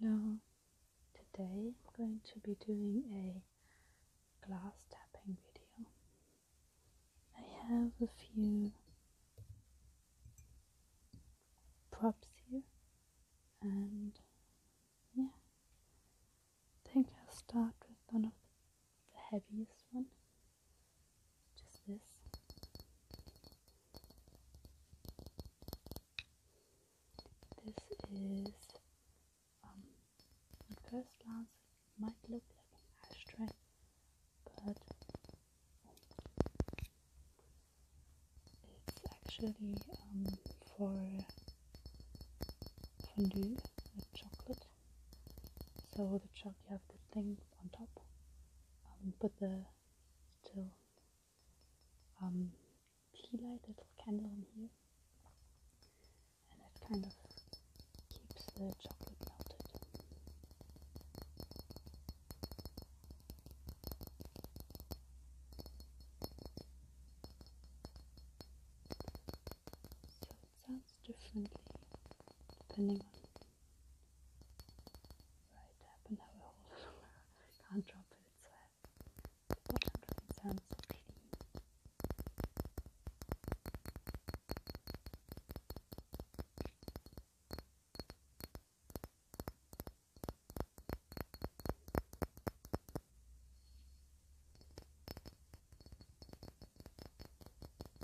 Hello, today I'm going to be doing a glass tapping video. I have a few props here and yeah, I think I'll start with one of the heaviest one. Just this. This is, um, at first glance, might look like an ashtray, but it's actually um, for fondue with chocolate. So the chocolate, you have the thing on top. Um, put the little tea um, light, little candle in here, and it kind of keeps the chocolate melted. So it sounds differently depending on right up and now hold it can't drop it, it's wet. The bottom really so clean.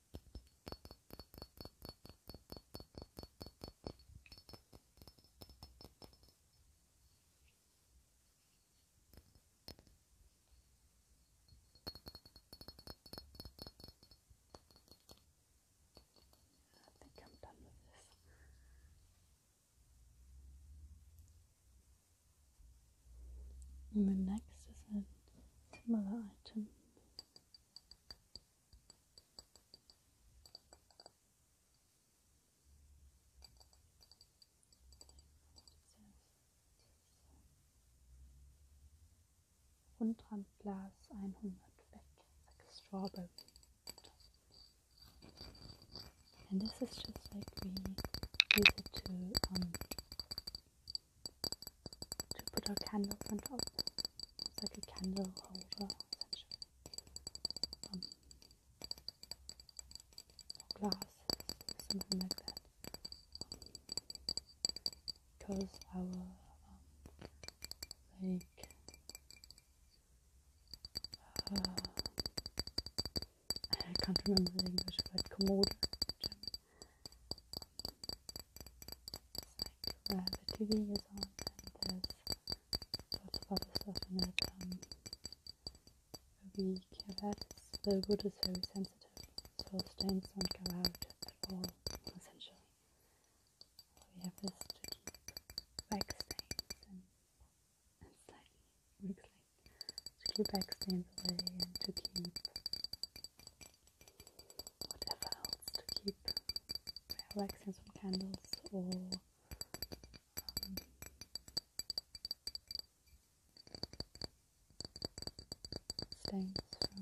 I think I'm done with this. And the next is a item. Hundrand 100 And this is just like we use it to um, to put our candles on top. It's like a candle holder, essentially. Um, or something like that. Because our, um, like, uh, I can't remember the English word, commode. German the TV is on and there's lots of other stuff in it. Um, we Cavats, the wood is very sensitive, so stains don't go out at all, essentially. we have this to keep back stains and, and slightly, to keep back stains away and to keep whatever else to keep relaxing some candles or um, from glasses of water, juice.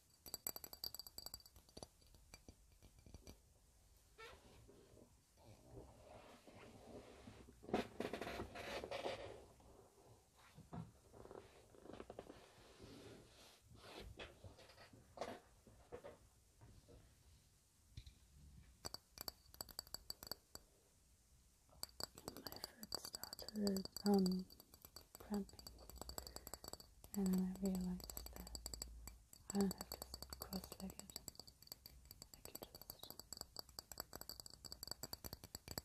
My foot started um cramping. And then I realized that I don't have to sit cross-legged. I can just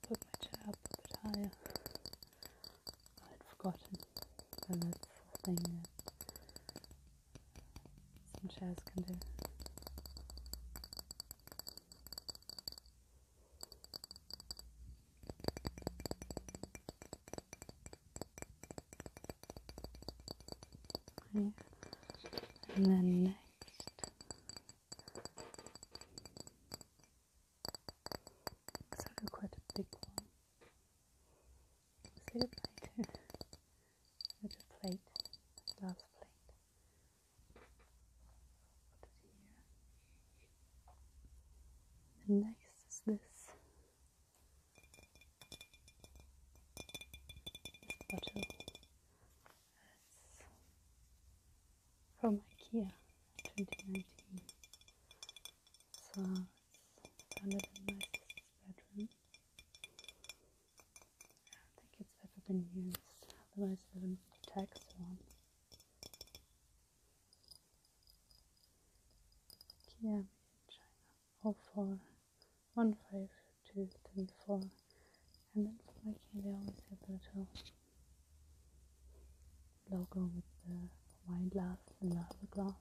put my chair up a bit higher. I'd forgotten that that's thing that some chairs can do. And then next, it's actually quite a big one. Is it plate? it's plate, glass plate. And next is this, bottle. That's from IKEA 2019. So it's found in my sister's bedroom. I think it's ever been used, otherwise it wouldn't be taxed Kiabi in China, 04, And then for Mikey, they always have the little logo with the wine glass and lava glass.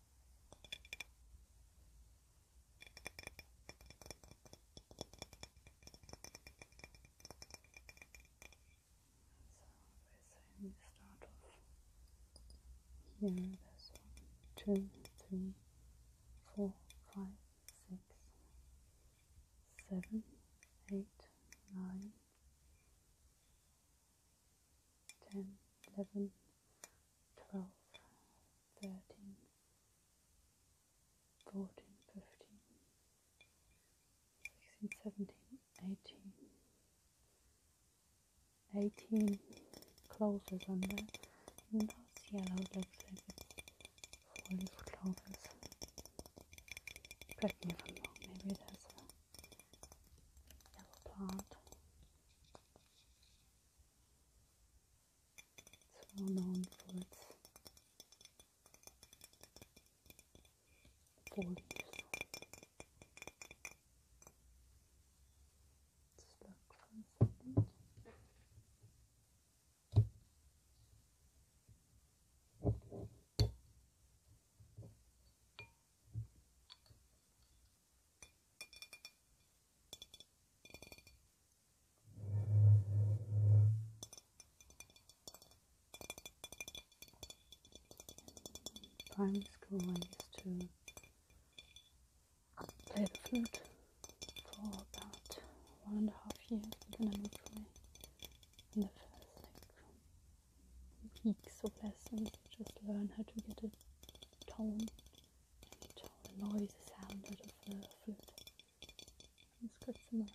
we start off here, there's one, two, three, four, five, six, seven, eight, nine, 10, 11, 12, 13, 14, 15, 16, 17, 18, 18 closes on that and those yellow looks like it's four leaf clovers. Correct me if maybe it a yellow plant. It's well known for its foliage primary school I used to play the flute for about one and a half years and then I moved away and the first like peaks of lessons, just learn how to get a tone, and tone, a noise, a sound out of the flute. It's quite similar to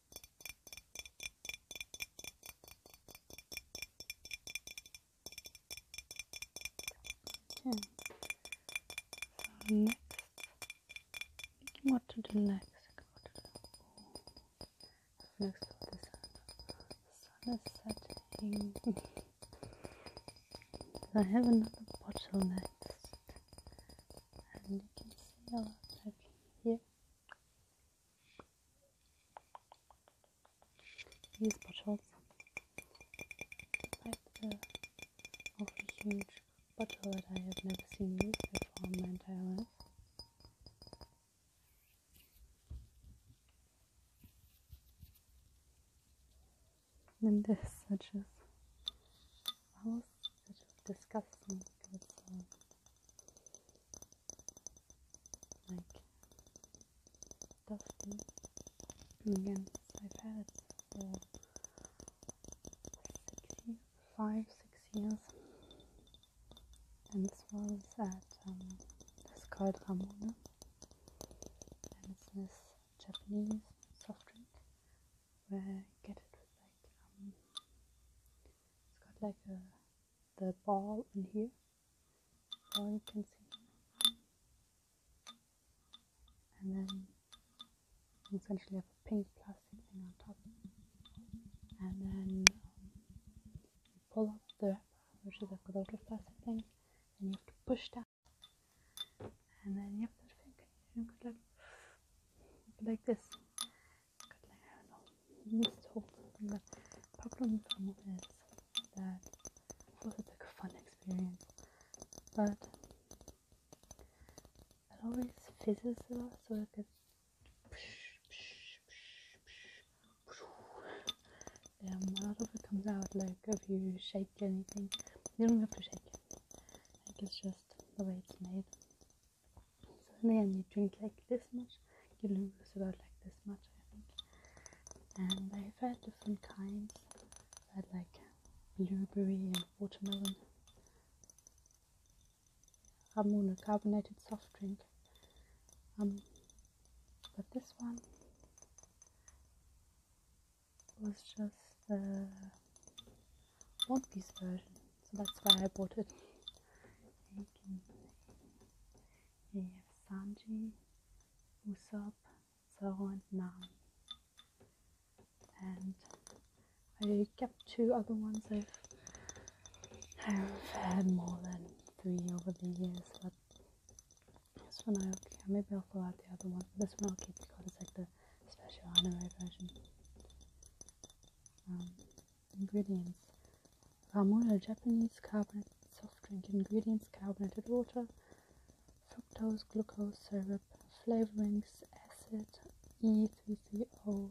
Hmm. Okay. next, what to do next? next the sun. The sun is setting. I have another bottle next and you can see a lot right here these bottles like the awfully huge bottle that I have never seen before in my entire life and this such as house which disgusting because um, like dusty again I've had it for five, six years and this was at um, it's called Ramune, and it's this Japanese soft drink where I get it like um, it's got like a the ball in here. Ball you can see, and then essentially have a pink plastic thing on top, and then um, pull up the wrapper, which is like a little plastic thing, and you have to push down, and then you have that finger, you could like like this. But like, I don't know, missed whole thing. But problem from it is that it was a fun experience, but it always fizzes a lot, so it gets. Um, a lot of it comes out like if you shake anything. You don't have to shake it. Like it's just the way it's made. So then you drink like this much, you lose about like this much, I think. And I've had different kinds. I had like blueberry and watermelon. Ramona carbonated soft drink. Um, but this one was just uh, want this version, so that's why I bought it. You have Sanji, Usopp, Zoro and Nami. And I kept two other ones. I've, I've had more than three over the years, but this one I'll keep. Maybe I'll throw out the other one. This one I'll keep because it's like the special anime version. Um, ingredients Ramune, Japanese carbonated soft drink ingredients carbonated water, fructose, glucose syrup, flavorings, acid, e three three O. co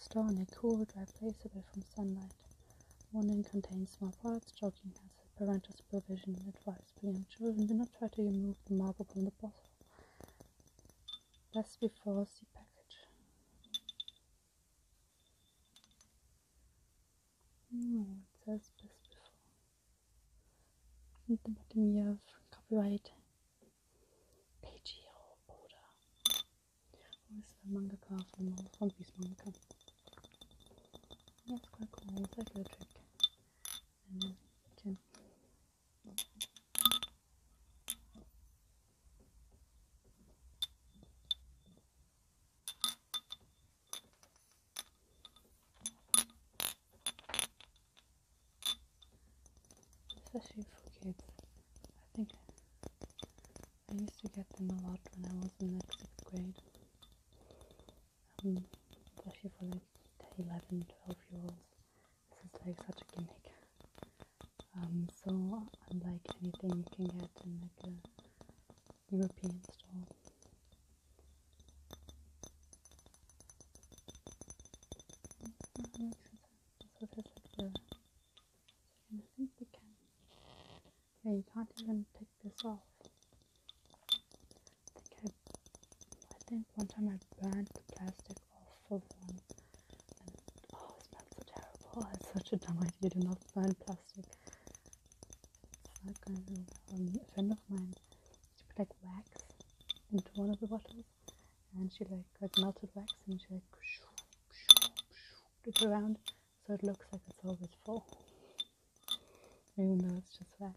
store in a cool, dry place away from sunlight. Warning contains small parts, joking hazard, parental supervision, advice beyond children. Do not try to remove the marble from the bottle. Best before the package. No, hmm, it says best before. At the bottom you have copyright Peijiro Oda. Who is the mangaka from One Piece mangaka. That's quite cool, it's like a trick. And uh, Especially for kids. I think I used to get them a lot when I was in like sixth grade. Um, especially for like 11, 12 year olds. This is like such a gimmick. Um, so unlike anything you can get in like a European store. Mm-hmm. So this is like the I think we can yeah you can't even take this off think I, I think one time I burned the plastic off of one. And, oh, it smells so terrible. It's such a dumb idea to not burn plastic. It's not going to. a friend of mine, she put like wax into one of the bottles, and she like got melted wax, and she like shoo, shoo, shoo, it around, so it looks like it's always full, even though it's just wax.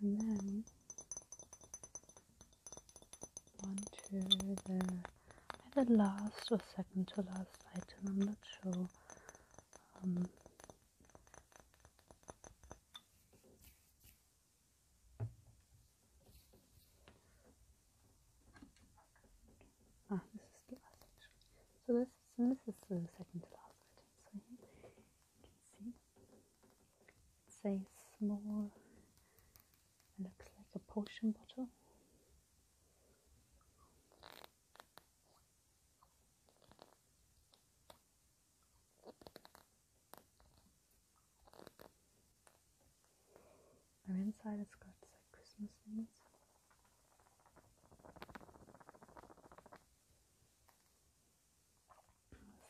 and then one onto the either last or second to last item, I'm not sure. Um, ah, this is the last actually. So this, so this is the second to last item. So you can see it's a small, looks like a potion bottle. And inside it's got like Christmas things.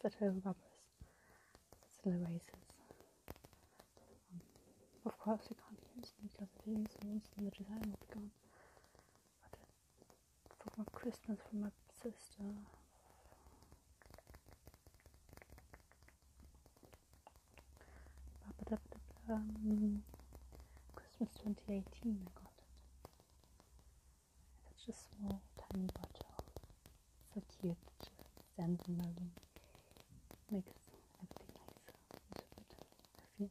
That's little rubbers, that's little erasers. of course, you can't use them because if you use them, the design will be gone. for my Christmas, for my sister, Christmas 2018, I got it. Such a small, tiny bottle. So cute, just sand and marble makes everything nice. It's a good perfume.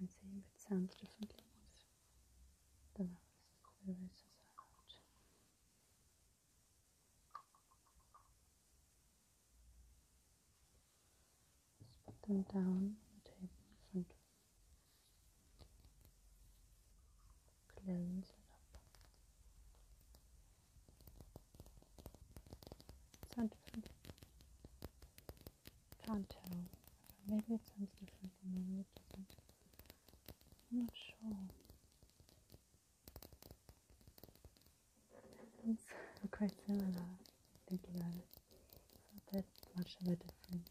And see it sounds differently with the The rest is out. Just put down on the table in front of you. Cleanse it up. Sounds different. Can't tell. Maybe it sounds different than the original. not I'm not sure. It's quite similar, think about it. It's not that much of a difference.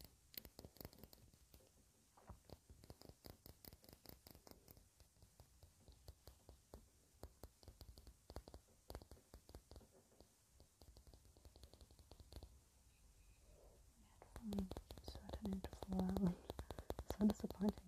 Mm, so I don't need to follow that one. so disappointing.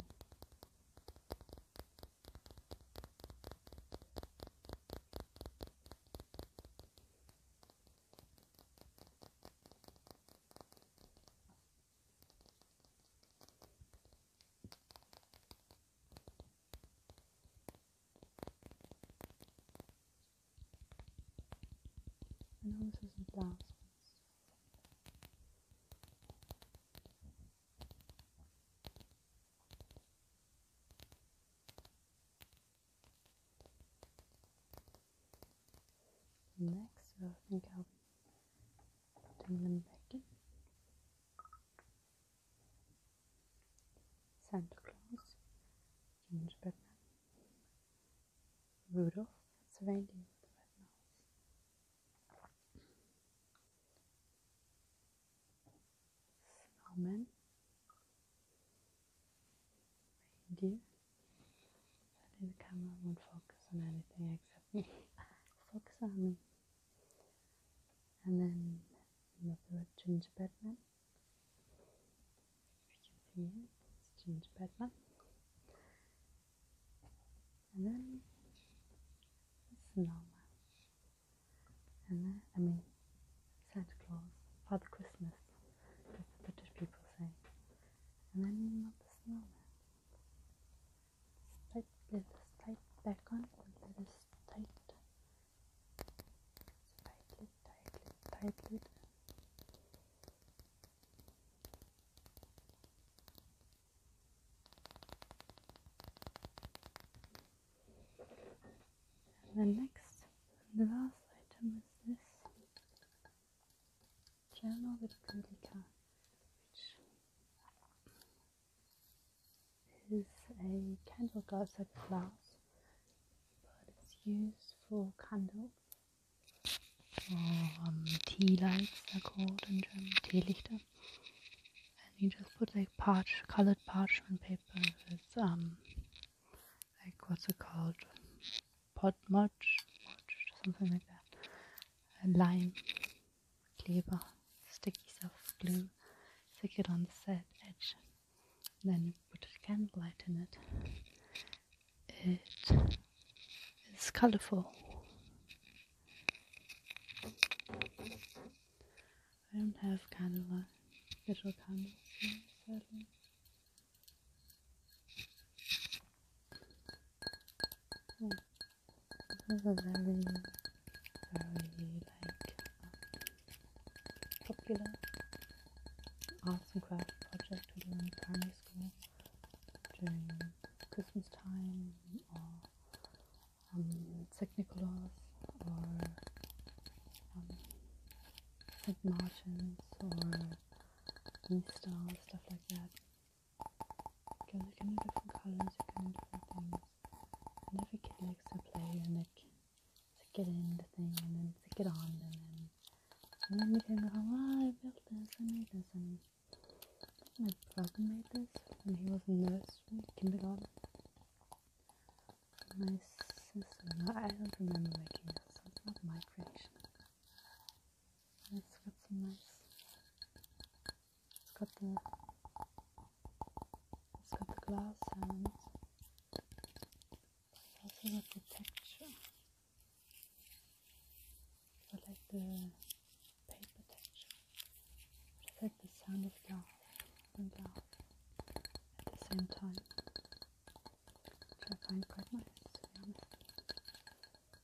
I know the last Next, I think I'll Bring them back in. Santa Claus, Gingerbread Man, Rudolph, that's a reindeer with a red reindeer. the camera won't focus on anything except. focus on me. And then another gingerbread man. You can see it, it's gingerbread man. And then the snowman. And then, I mean, Santa Claus, Father Christmas, that's the British people say. And then not the snowman. But let this tight back on and let us tight tightly tightly tightly and the next and the last item is this journal with Kulika, which is a candle glass like glass, but it's used for candles or um, tea lights, they're called in German, um, Teelichter. And you just put like parched, colored parchment paper with um, like what's it called, pot mulch, mulch, something like that, and lime Kleber, sticky soft glue, stick it on the said edge, then put a candlelight in it. It is colorful. I don't have candlelight, little candles, sadly. This is a very, very like popular arts and craft project during primary school during Christmas time or um, or um, or Easter, stuff like that. Because they're kind of different colours, they're kind of different things. And every kid likes to play and like to get in the thing and then stick it on and then and then you can go, oh, I built this, I made this, and my brother made this and he was in nursery, kindergarten. My sister, no, I don't remember making this, so it's not my creation. It's nice it's got the it's got the glass sound. It's also got the texture. I like the paper texture. But like the sound of glass and glass at the same time. Which I find quite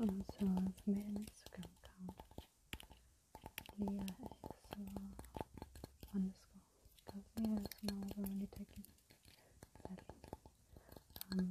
Also auf meinem Instagram-Account Leah because Leah is now already taking that um,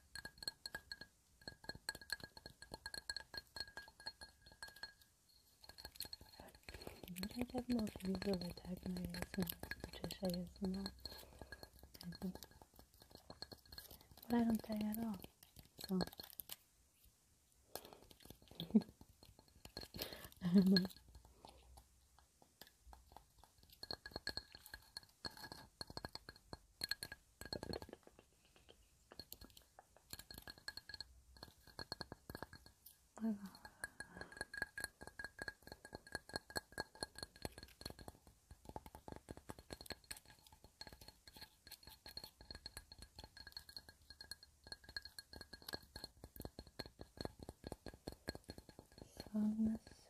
I have more videos of attack my ASMR, Patricia ASMR, I think. But I don't die at all, so. Little. So on this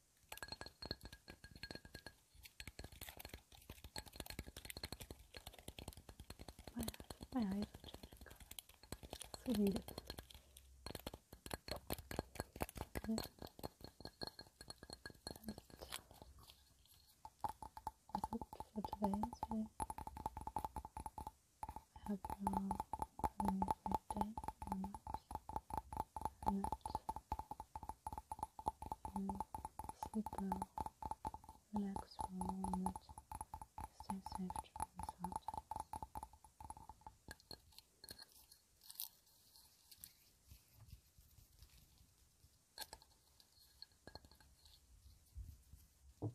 My, my eyes are changing color. It's weird. it for today. So I hope you all having a great day and sleep well, relax for a moment, stay safe during this hard